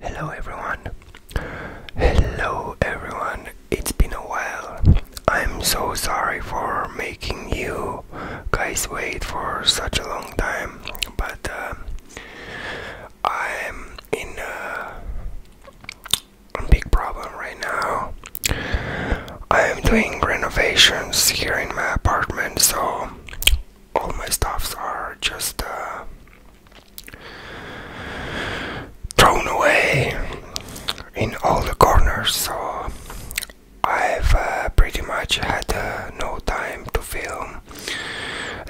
Hello everyone. Hello everyone. It's been a while. I'm so sorry for making you guys wait for such a long time, but uh, I'm in a big problem right now. I am doing renovations here in my apartment, so all my stuffs are just uh, thrown away in all the corners so I've uh, pretty much had uh, no time to film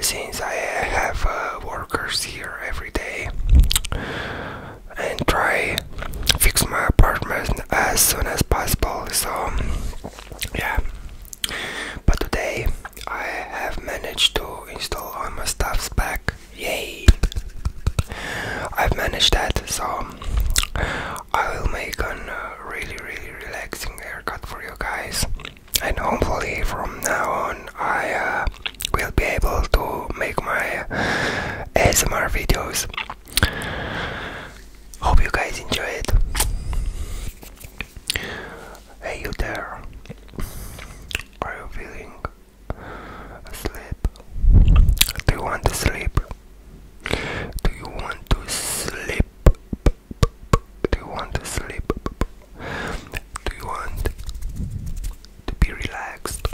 since I have uh, workers here every day and try fix my apartment as soon as possible so yeah but today I have managed to install all my stuffs back. Yay! I've managed that, so I will make a really, really relaxing haircut for you guys. And hopefully, from now on, I uh, will be able to make my ASMR videos. Hope you guys enjoy it. Hey you there! Are you feeling asleep? Do you want to sleep? Do you want to sleep? Do you want to sleep? Do you want to be relaxed?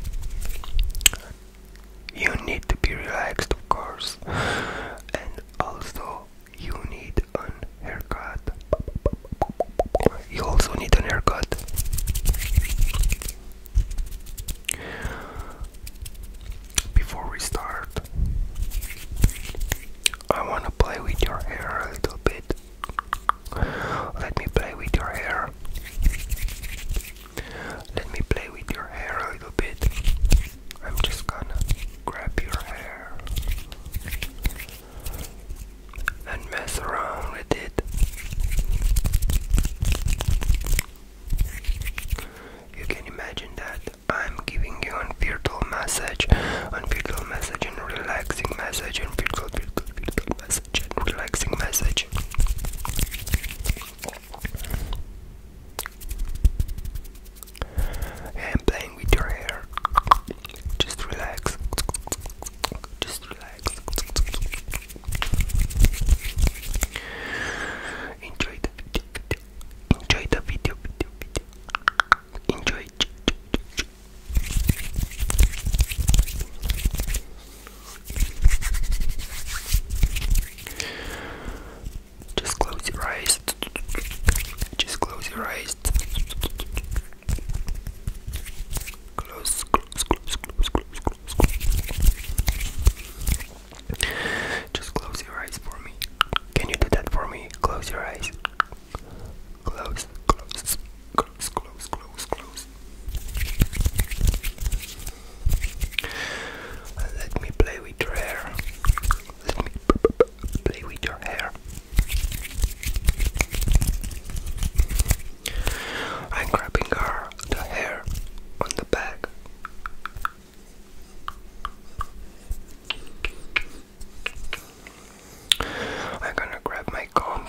You need to be relaxed, of course, and also you need an haircut. You also need an haircut. Before we start, I want to play with your hair a little bit. Let me play with your hair. Let me play with your hair a little bit. I'm just gonna grab your hair and mess around with it. You can imagine that I'm giving you a virtual massage, a virtual massage, and relaxing massage, and virtual, virtual, virtual massage, and relaxing massage and playing with your hair. Just relax. Just relax. Enjoy the video. Enjoy the video. Enjoy. Just close your eyes. Just close your eyes. Close, close, close, close, close, close, close. Just close your eyes for me. Can you do that for me? Close your eyes. Close, close, close, close, close, close. Let me play with your hair. Let me play with your hair. I'm grabbing her the hair on the back. I'm gonna grab my comb.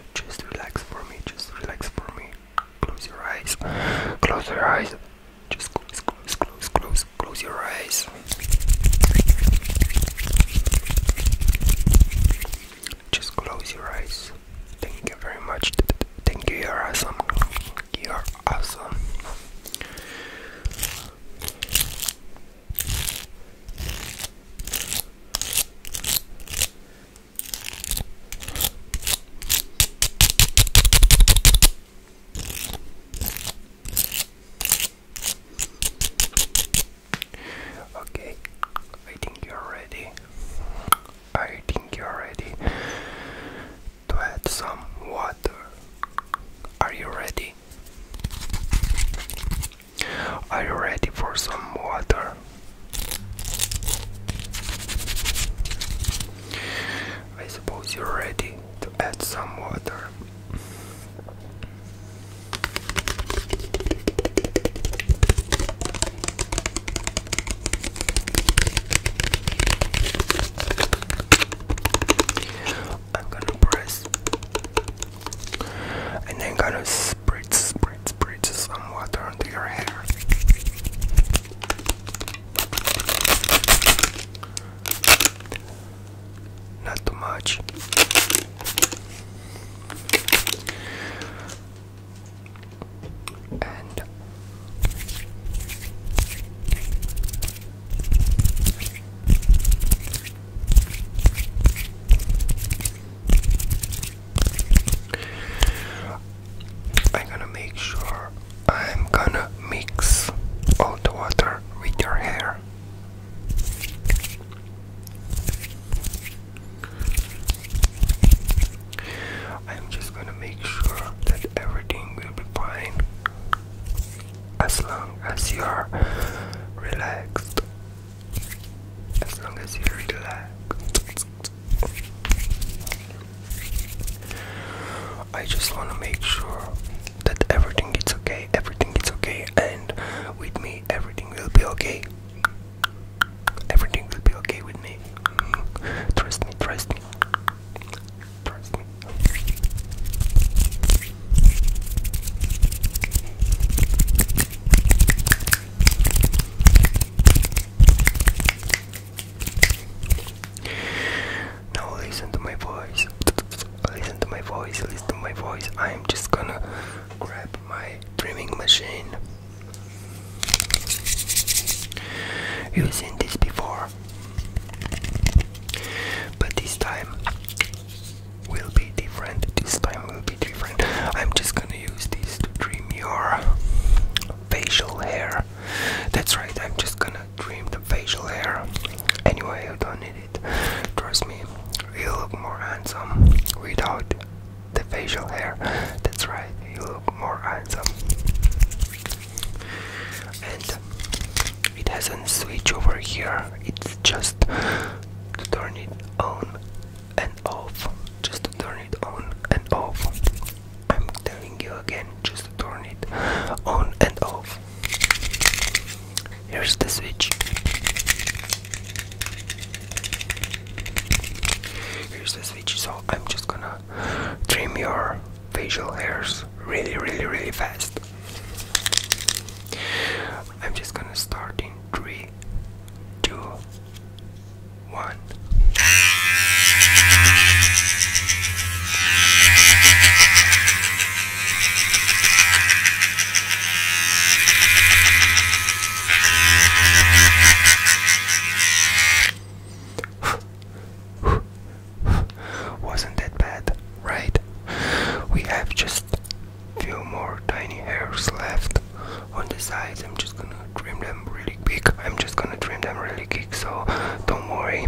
Just relax for me, just relax for me. Close your eyes, close your eyes. Just close, close, close, close, close your eyes. Just close your eyes. Thank you very much. Thank you, you're awesome. You're awesome. Okay, I think you're ready. I think you're ready to add some water. Are you ready? Are you ready for some water? I suppose you're ready to add some water. I'm gonna press and then gonna spritz, spritz, spritz some water onto your hair. Not too much. And I'm gonna make sure I'm gonna mix all the water with your hair. I'm just gonna make sure that everything will be fine as long as you are relaxed as long as you relax. I just want to make sure that everything is okay, everything is okay, and with me, everything will be okay. Everything will be okay with me. Trust me, trust me. Trust me. Now listen to my voice. Listen to my voice. Listen to my voice. I'm just gonna grab my trimming machine. You've seen this before, but this time will be different. This time will be different. I'm just gonna use these to dream your facial hair. That's right, I'm just gonna dream the facial hair. Anyway, you don't need it. Trust me, you look more handsome without the facial hair. That's right, you look more handsome. And it has not switch over here, it's just to turn it on and off just to turn it on and off I'm telling you again just to turn it on and off here's the switch here's the switch so I'm just gonna trim your facial hairs really really really fast I'm just gonna start in three, two, one. Wasn't that bad, right? We have just few more tiny hairs left on the sides i'm just gonna trim them really quick i'm just gonna trim them really quick so don't worry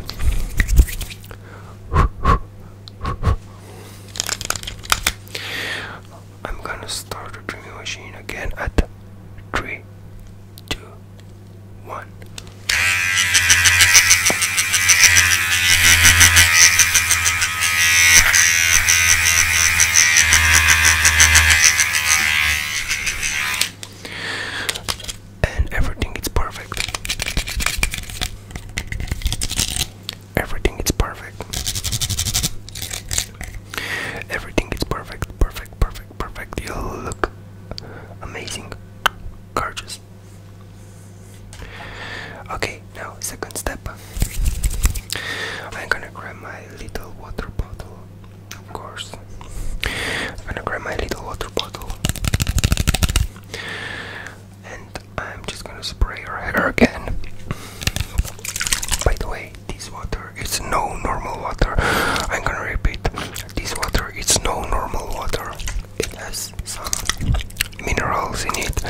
i'm gonna start the trimming machine again at three two one and everything is perfect. Everything is perfect. Everything is perfect, perfect, perfect, perfect. You look amazing, gorgeous. Okay, now second step. I'm gonna grab my little water bottle, of course. I'm gonna grab my little water bottle, and I'm just gonna spray her hair again. By the way, this water is no normal water. I'm gonna repeat this water is no normal water. It has some minerals in it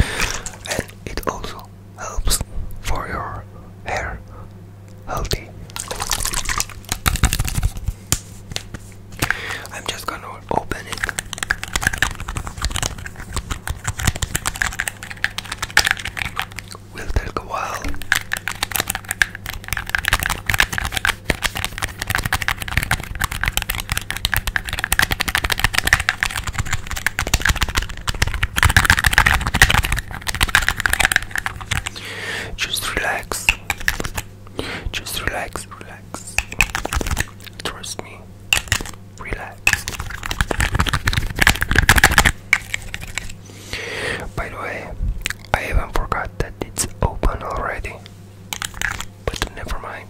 and it also helps for your hair healthy. I'm just gonna open it. Will take a while. Just relax. Just relax, relax. Trust me. Relax. By the way, I even forgot that it's open already. But never mind.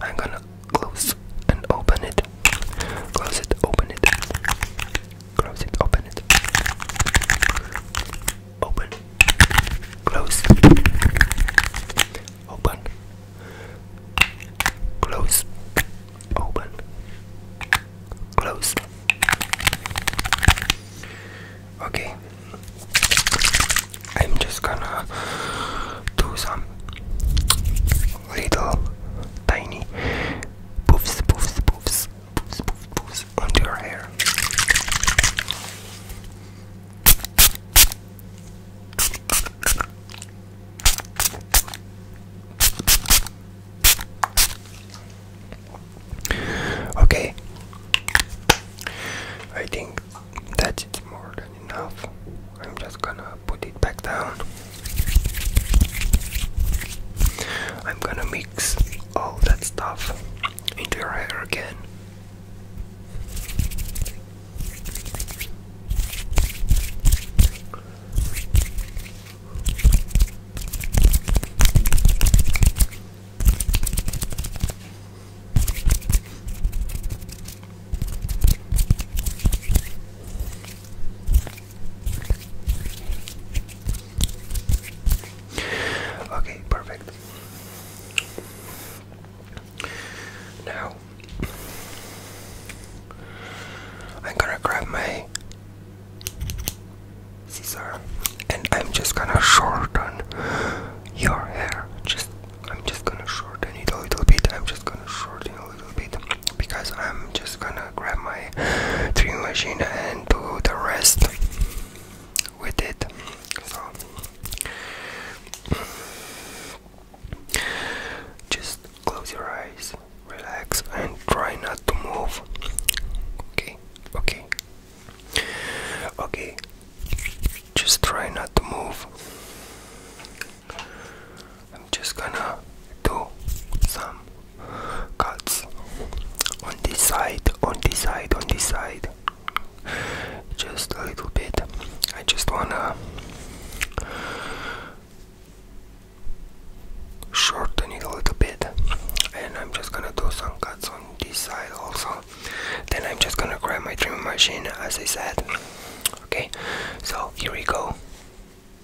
I'm gonna close and open it. Close it, open it. Close it, open it. Open. Close. Open. Close. Open. Close. Okay. I'm just gonna do some little tiny poofs, poofs, poofs, poofs, poofs, poofs onto your hair. Okay, I think that's more than enough. I'm just gonna put it back down. I'm gonna mix all that stuff into your hair again. Okay, perfect. Now I'm gonna grab my scissors and I'm just gonna shorten your hair. Just I'm just gonna shorten it a little bit. I'm just gonna shorten it a little bit because I'm just gonna grab my trimming machine and do the rest with it. So just close your eyes, relax, and try not to move. Okay, okay, okay, just try not to move. I'm just gonna do some cuts on this side, on this side, on this side. Just a little bit. I just wanna shorten it a little bit. And I'm just gonna do some cuts on this side also. Then I'm just gonna grab my trimming machine as I said. Okay, so here we go.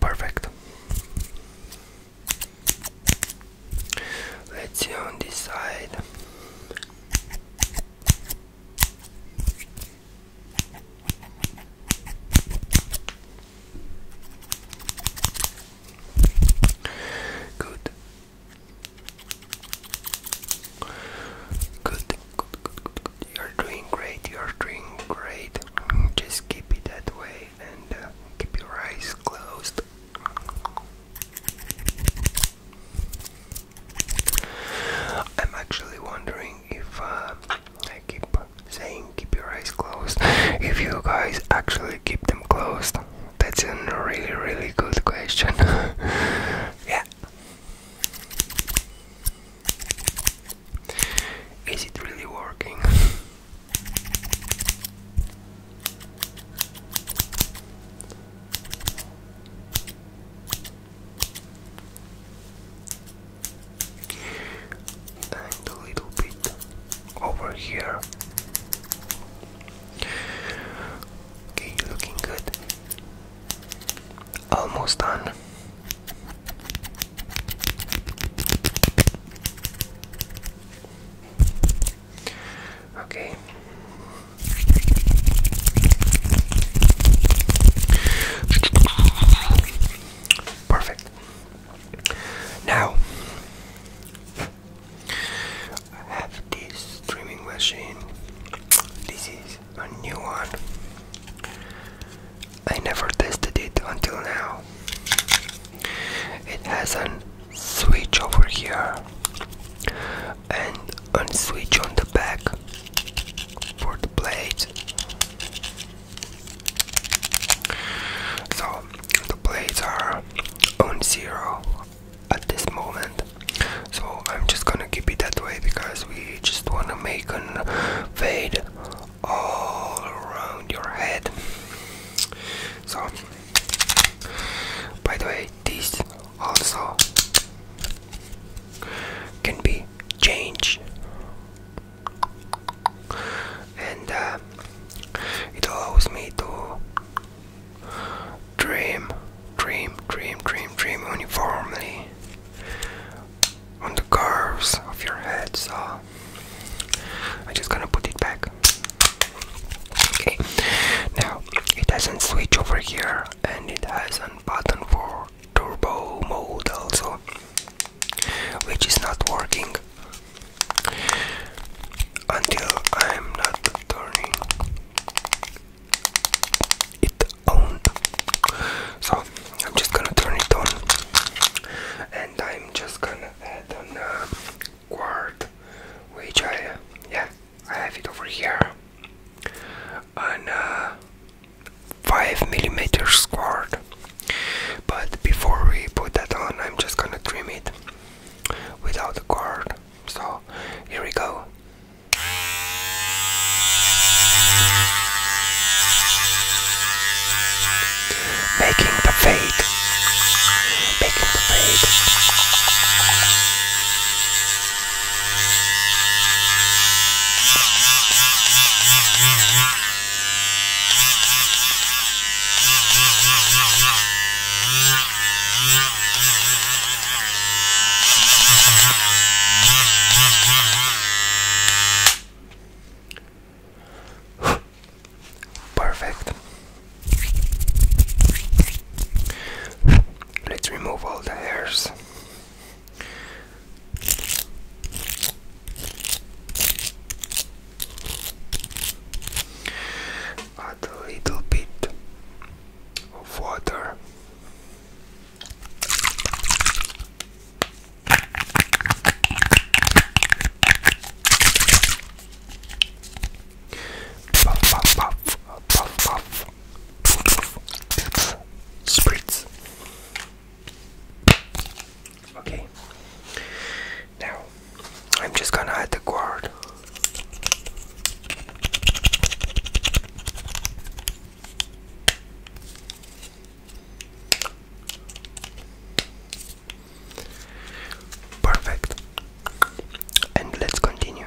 Perfect. Let's see on this side. Good. Good, good, good, good, good. You're doing great. You're doing great. Just keep it that way and uh, keep your eyes closed. I'm actually wondering if uh, I keep saying keep your eyes closed. If you guys actually keep them closed, that's a really, really good question. yeah. Is it really working? and a little bit over here. Okay, looking good. Almost done. Okay. Perfect. Now I have this streaming machine. This is a new one. I never tested it until now. It has a switch over here and a switch on the back for the blade. So the blades are on zero at this moment so i'm just gonna keep it that way because we just want to make a fade all around your head so by the way this also can be changed and uh, it allows me to dream, dream, dream, dream, dream uniformly on the curves of your head. So I'm just gonna put it back. Okay, now it has a switch over here and it has a button for turbo mode also, which is not working until I'm not turning it so I'm just gonna turn it on, and I'm just gonna add on a quart, which I yeah I have it over here, on a five millimeters quart. But before we put that on, I'm just gonna trim it without the cord. So here we go. Making the fade. Making the fade. Perfect. Let's remove all the hairs. Add a little bit of water Puff, puff, puff, puff, puff. Spritz. Okay. Now, I'm just gonna add the guard. Perfect. And let's continue.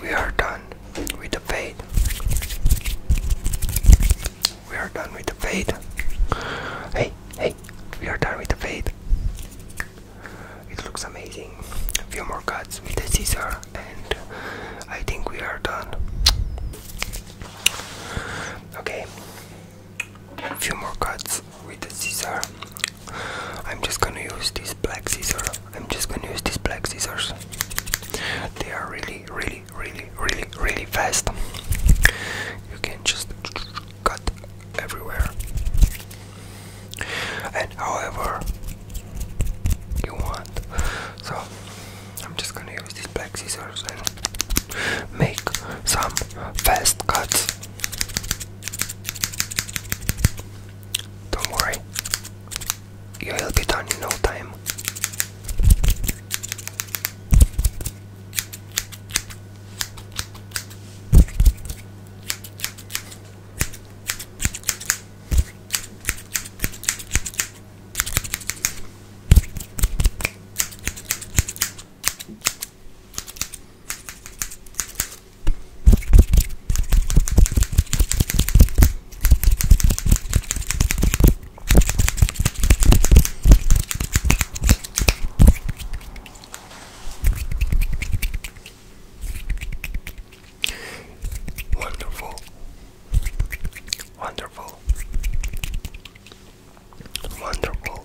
we are done with the fade. We are done with the fade. Hey, hey, we are done with the fade. It looks amazing. A few more cuts with the scissor, and I think we are done. Okay, a few more cuts with the scissor. I'm just gonna use this black scissors. I'm just gonna use these black scissors. They are really, really, really, really, really fast. You can just cut everywhere. And however you want. So I'm just gonna use these black scissors and make some fast cuts. Don't worry, you will be done in no time. Wonderful. Wonderful. Wonderful.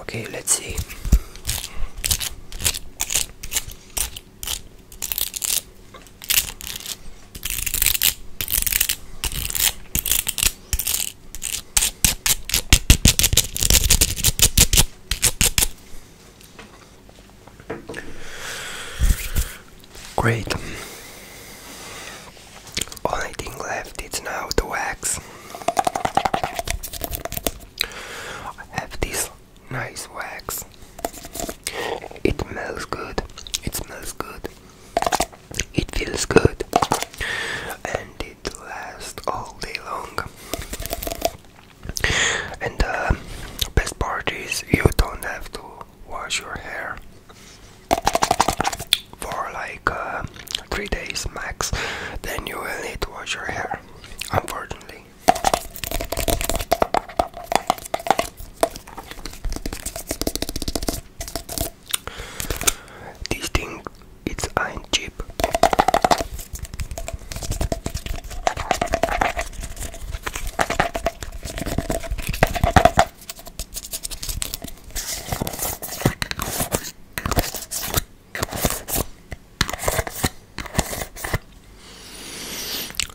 Okay, let's see. Great. Only thing left is now the wax. I have this nice wax. It smells good. It smells good. It feels good. And it lasts all day long. And uh, best part is you don't have to wash your hair for like uh, 3 days max. Then you will need to wash your hair unfortunately. This thing it's ain't cheap.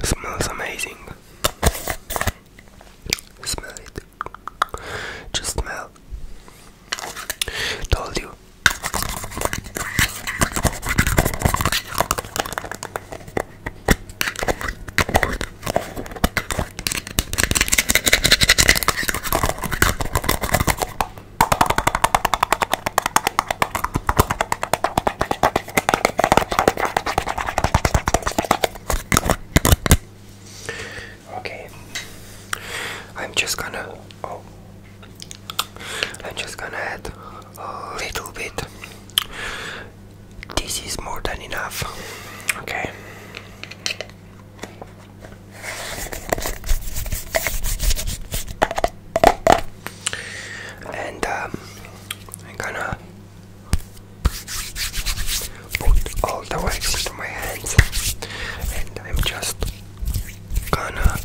Smells amazing. Smell it. Just smell. Told you. Okay, I'm just gonna. Oh, I'm just gonna add a little bit. This is more than enough. Okay. And um, I'm gonna put all the wax into my hands, and I'm just gonna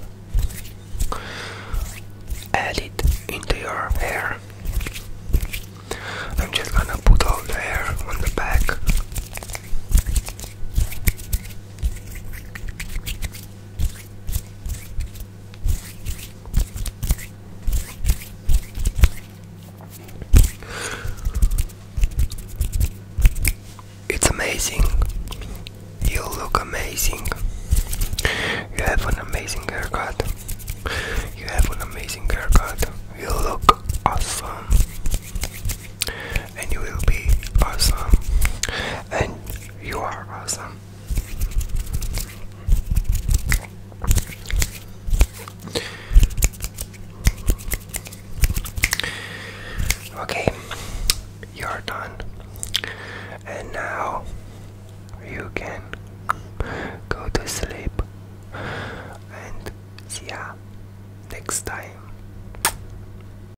add it into your hair. I'm just gonna put all the hair on the back. It's amazing. You look amazing. You have an amazing haircut. You have an amazing haircut. You look awesome and you will be awesome. And you are awesome. Okay, you're done. And now you can go to sleep and see ya next time.